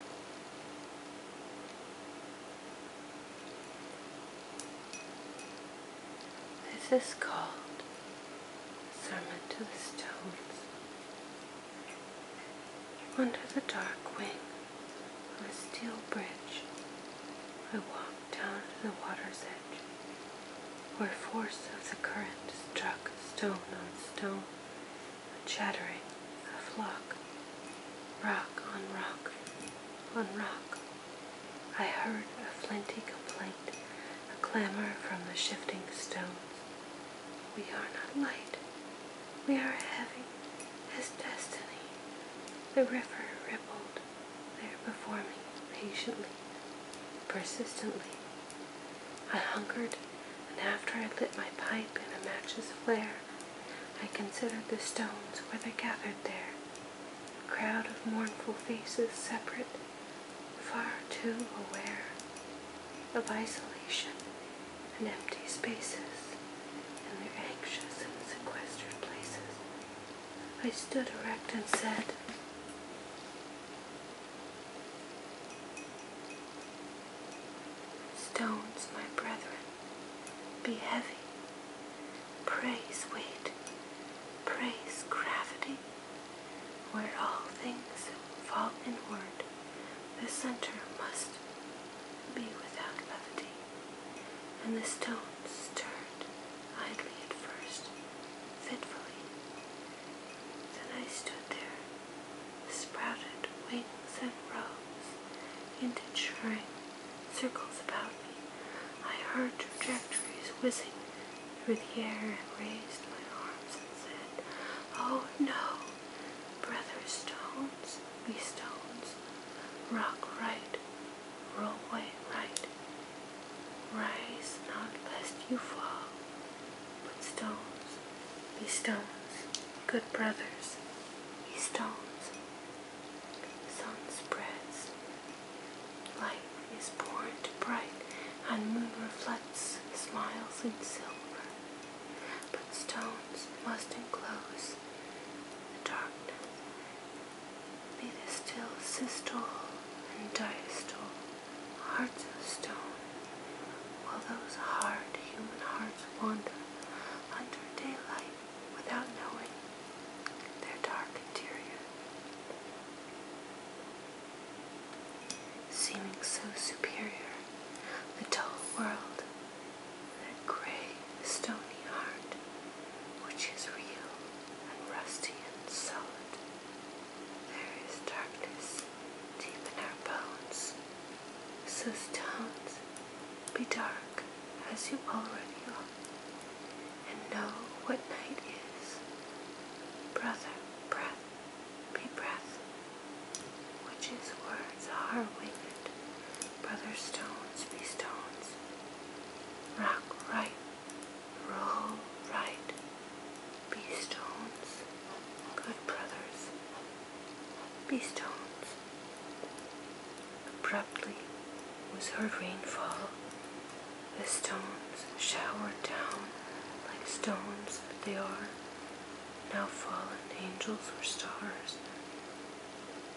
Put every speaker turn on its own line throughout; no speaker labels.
This is called Sermon to the Stones. Under the dark wing of a steel bridge, I walked down to the water's edge, where force of the current struck stone on stone a chattering of flock, rock on rock on rock. I heard a flinty complaint, a clamor from the shifting stones. We are not light, we are heavy as destiny. The river rippled there before me, patiently, persistently. I hungered, and after I lit my pipe in a match's flare, I considered the stones where they gathered there, a crowd of mournful faces separate, far too aware of isolation and empty spaces in their anxious and sequestered places. I stood erect and said, Stones, my brethren, be heavy. Praise weight, praise gravity. Where all things fall inward, the center must be without levity. And the stones stirred idly at first, fitfully. Then I stood there, sprouted wings and rose into churning circles about me. I heard trajectories whizzing through the air and raised my arms and said, Oh no, brother stones, be stones, rock right, rollway right. Rise not lest you fall, but stones, be stones, good brothers, be stones. Sun spreads, light is born to bright, and moon reflects smiles in silver but stones must enclose the darkness. Be the still systole and diastole, hearts of stone, while those hard human hearts wander under daylight without knowing their dark interior seeming so superior, the dull world, that grey, stony heart, which is real and rusty and solid. There is darkness deep in our bones, so stones be dark as you already are, and know what night is. Brother, breath be breath, which his words are winged. Brothers stones be stones. Rock right, roll right. Be stones, good brothers. Be stones. Abruptly was her rainfall, the stones showered down like stones that they are, now fallen angels or stars,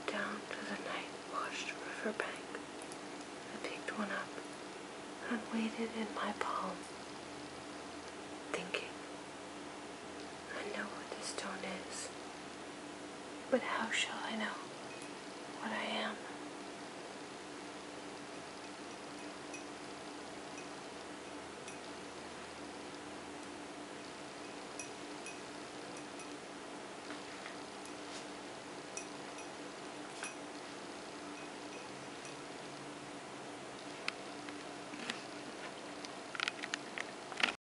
down to the night washed river bank. I picked one up and weighed in my palm, thinking, I know what this stone is. But how shall I know what I am?